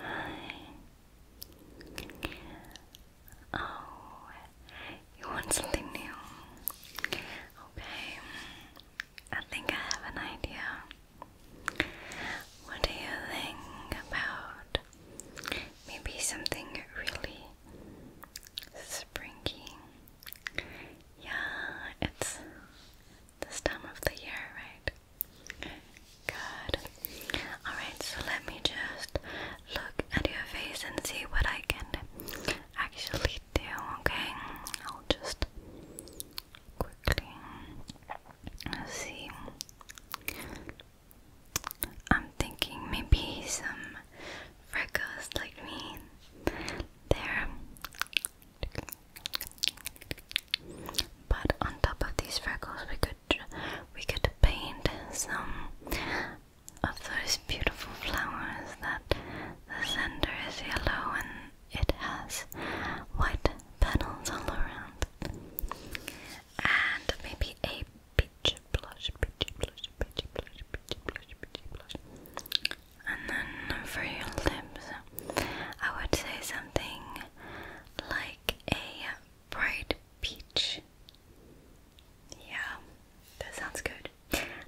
Hi. Oh, you want something new? Okay. I think I have an idea. What do you think about maybe something really springy? Yeah, it's this time of the year, right? Good. Alright, so let me just look at your face and see what I can actually do, okay? I'll just quickly see. I'm thinking maybe some freckles like me. There. But on top of these freckles, we could we could paint some of those beautiful flowers that the center is yellow and it has white petals all around. And maybe a peach blush, peach blush, peach blush, peach blush, peach blush, peach blush and then for your lips, I would say something like a bright peach. Yeah, that sounds good.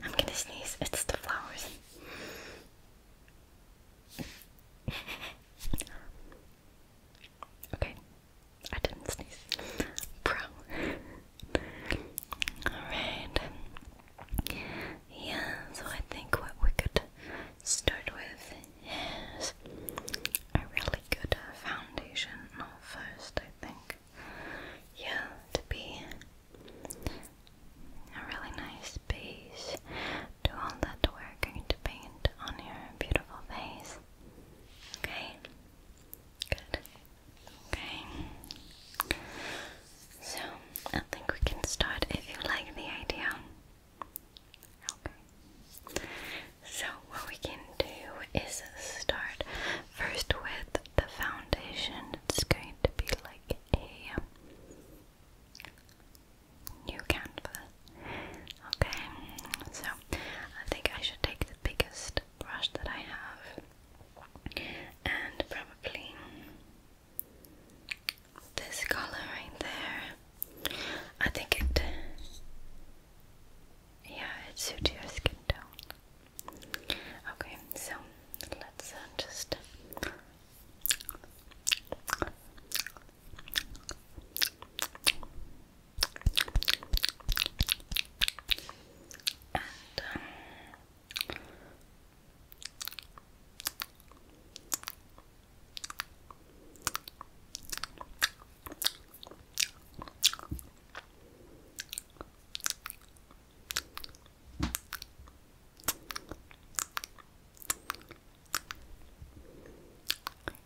I'm gonna sneeze, it's the flowers. okay, I didn't sneeze. Bro. Alright. Yeah, so I think what we could start with is a really good uh, foundation first, I think. Yeah, to be a really nice base to all that we're going to paint on your beautiful face. Okay? Good. Okay. So, I think we can start if you like the idea. Okay. So, what we can do is start first with the foundation. It's going to be like a new canvas. Okay, so I think I should take the biggest brush that I have and probably this color right there. I think it, yeah, it suits your skin tone. Okay, so let's uh, just. Um,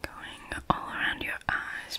Going all around your eyes.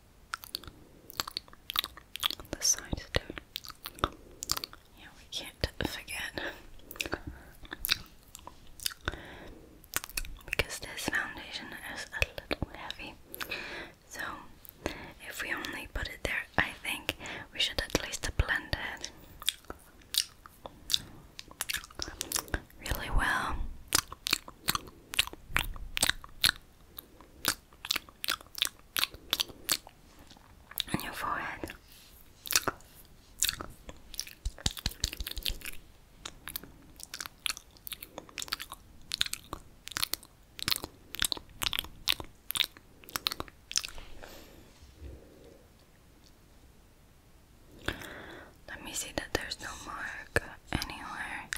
the side too. Yeah, we can't forget. Because this foundation is a little heavy. So, if we only put it there, I think we should at least blend it really well on your forehead. Let me see that there's no mark anywhere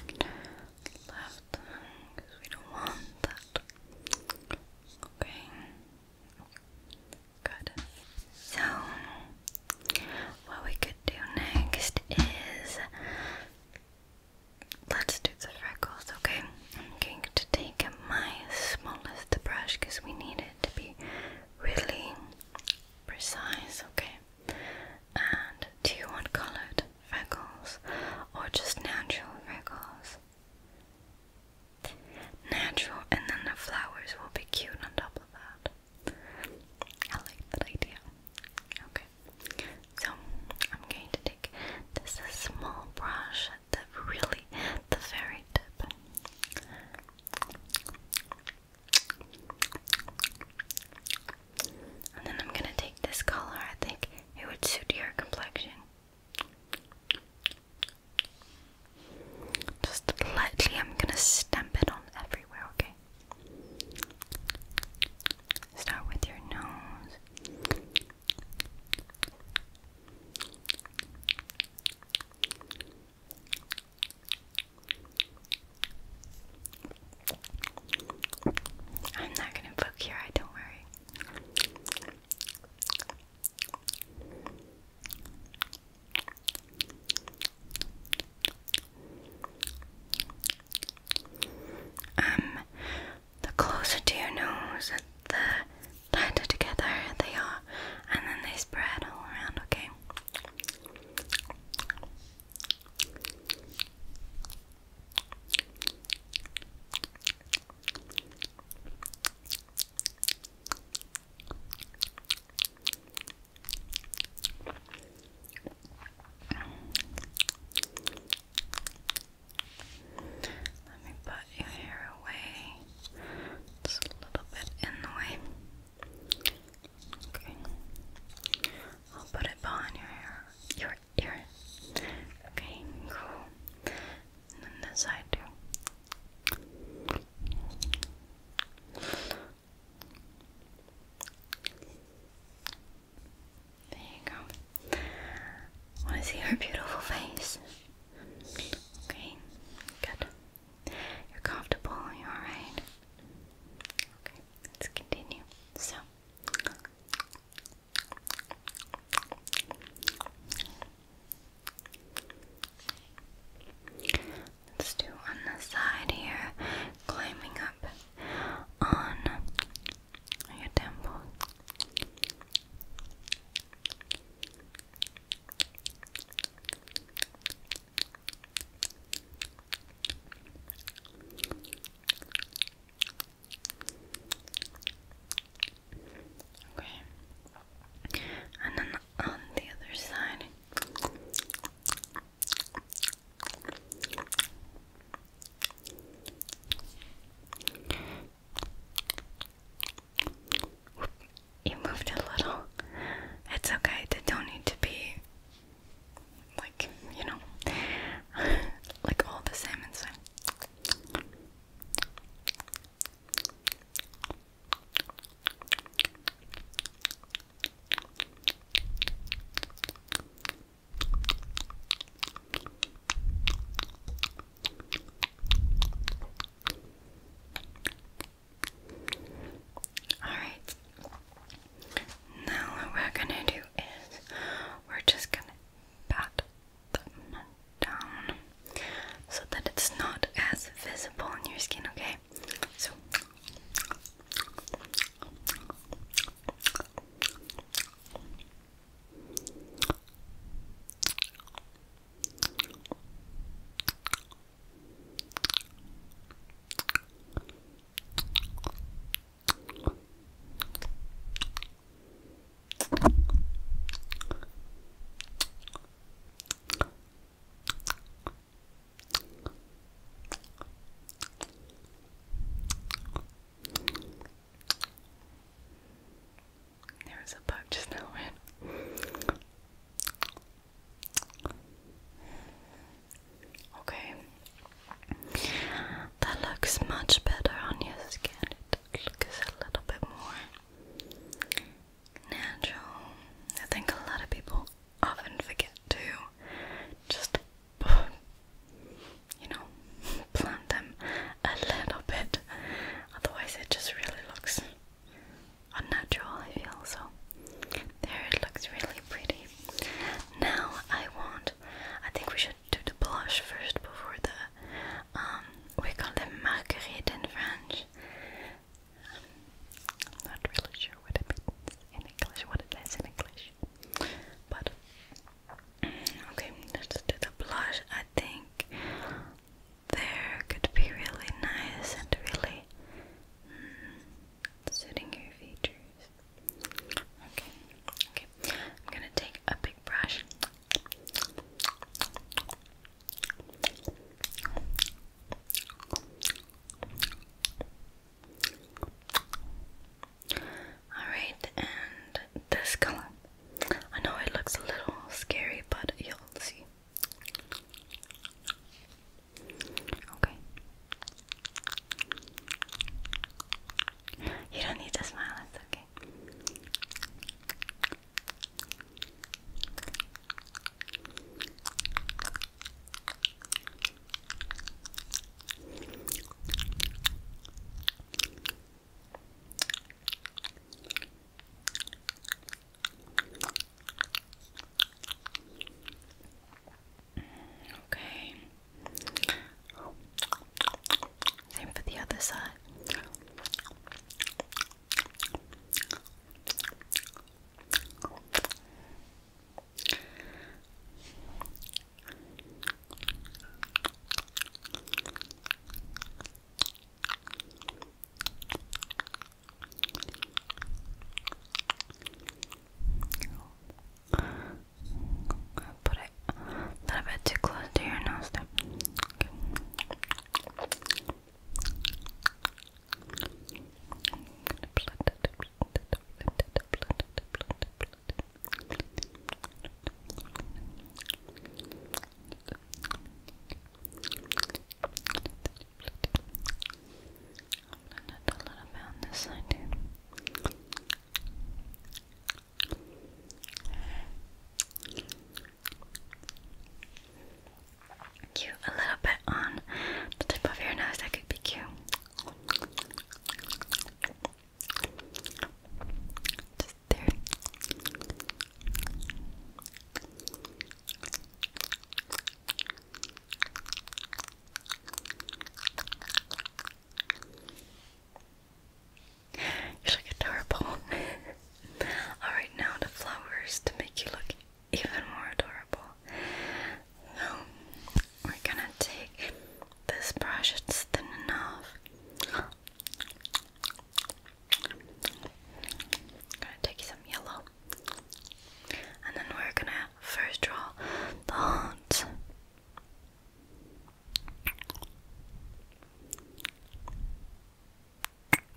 left because we don't want that. Okay. Good. So, what we could do next is let's do the freckles, okay? I'm going to take my smallest brush because we need it to be really precise, okay? And do you want colored? freckles or just natural freckles. Natural, and then the flowers will be cute on top of that. I like that idea. Okay, so I'm going to take this small brush the really, the very tip. And then I'm gonna take this color, I think it would suit your complexion. Just lightly, I'm gonna stamp it on everywhere, okay? Start with your nose. I'm not gonna poke your eye, don't worry. Um, the closer to your nose the tighter together they are, and then they spread all around, okay? Let me put your hair away. Just a little bit in the way. Okay. I'll put it behind your hair, your ear. Okay, cool. And then this side too. There you go. want to see your beautiful face. Okay, good. You're comfortable, you're alright. Okay, let's continue. So, Let's do on the side here, climbing up on your temple. Okay. And then on the other side. You moved a little. It's okay. They don't need to be like you know, like all the same inside. All right. Now what we're gonna do is we're just gonna pat them down so that it's not as visible on your skin, okay? So there was a bug just now. Okay. That looks much better on your skin. It looks a little bit more natural. I think a lot of people often forget to just, you know, plant them a little bit. Otherwise, it just really looks unnatural, I feel. So, there it looks really pretty. Now, I want, I think we should do the blush first before the, um, we call them marguerite in French. not really sure what it means in English, what it is in English. But, okay, let's do the blush. I think there could be really nice and really. Hmm, suiting your features. Okay, okay. I'm gonna take a big brush. Alright, and this color. I know it looks a little scary, but you'll see. Okay. You don't need to smile, it's okay. Okay. Same for the other side. Put it a little bit too close to your nose there. I'll blend it a little bit on this side too. Cute, a little bit on the tip of your nose, that could be cute. Just there. You're like adorable. Alright, now the flowers to make you look even more adorable. Now, we're gonna take this brush, it's thin enough. I'm gonna take some yellow and then we're gonna first draw the heart.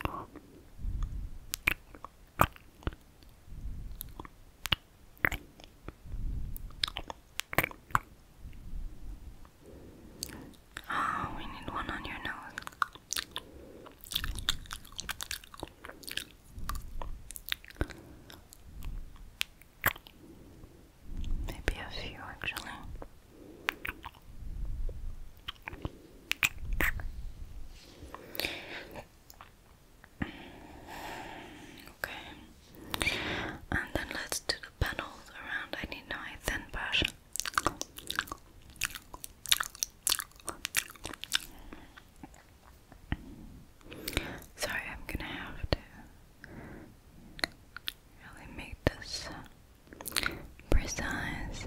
Oh, we need one on your nose. Maybe a few actually. Okay. And then let's do the panels around. I need a thin brush. Sorry, I'm gonna have to really make this precise.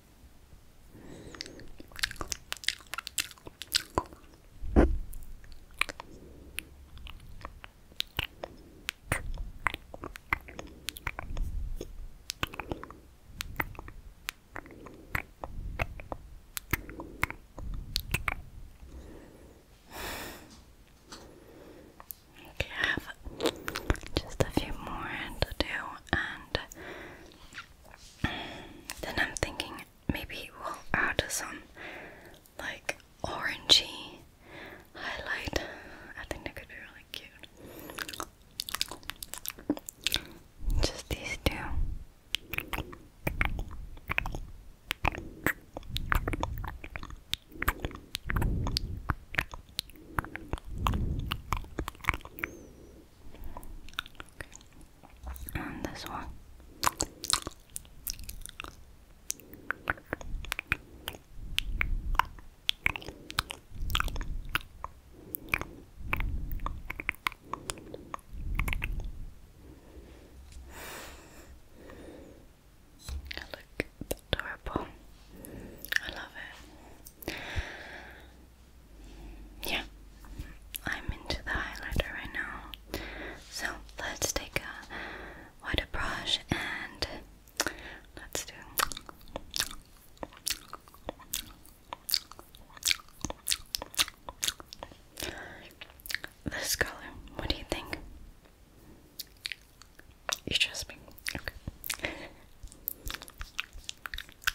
Okay, I have just a few more to do, and then I'm thinking maybe we'll add some like orangey highlight. I think that could be really cute. Just these two. And this one. look adorable. I love it. Yeah, I'm into the highlighter right now. So let's take a wider brush and let's do. This color, what do you think? You trust me? Okay.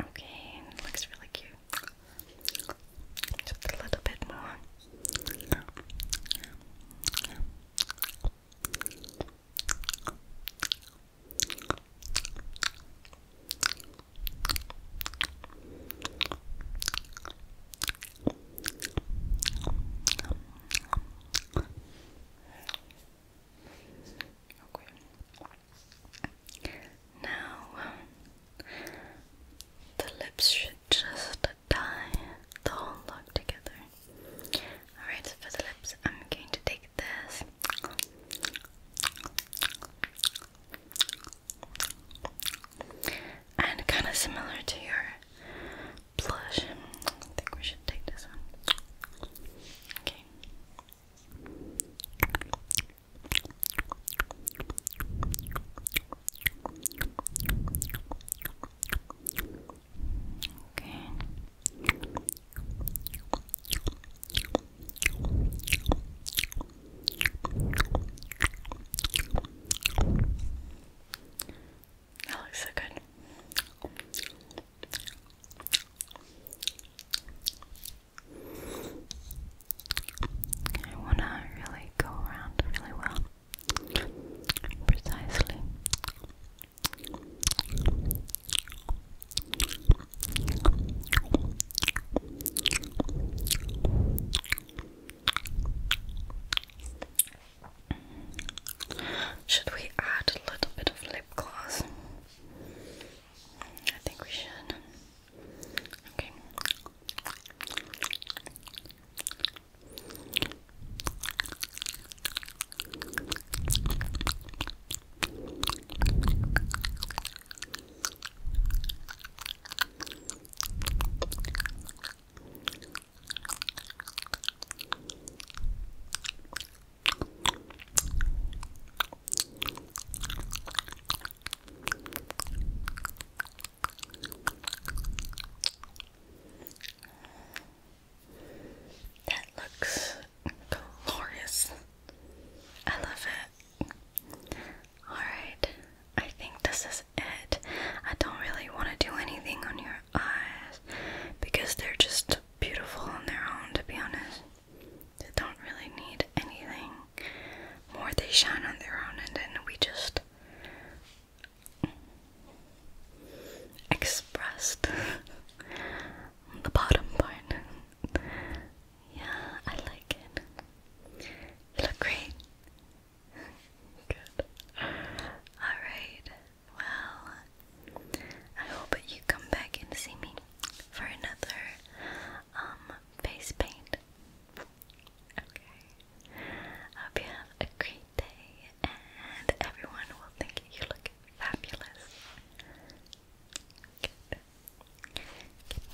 Okay, looks really cute. Just a little bit more. Okay. Now the lips should just tie the whole look together. Alright, for the lips, I'm going to take this. And kind of similar to your blush. I think we should take this one. Okay. Okay. That looks so good. I want to really go around really well, precisely. Should we add a little bit of lip gloss? I think we should. Okay. That looks glorious. I love it. Alright, I think this is it. I don't really want to do anything on your eyes because they're just beautiful on their own, to be honest. They don't really need anything more, they shine on their own, and then we just expressed the bottom part. yeah, I like it. You look great. Good. Alright, well, I hope you come back and see me for another um, face paint. Okay. hope you have a great day and everyone will think you look fabulous. Good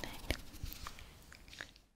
night.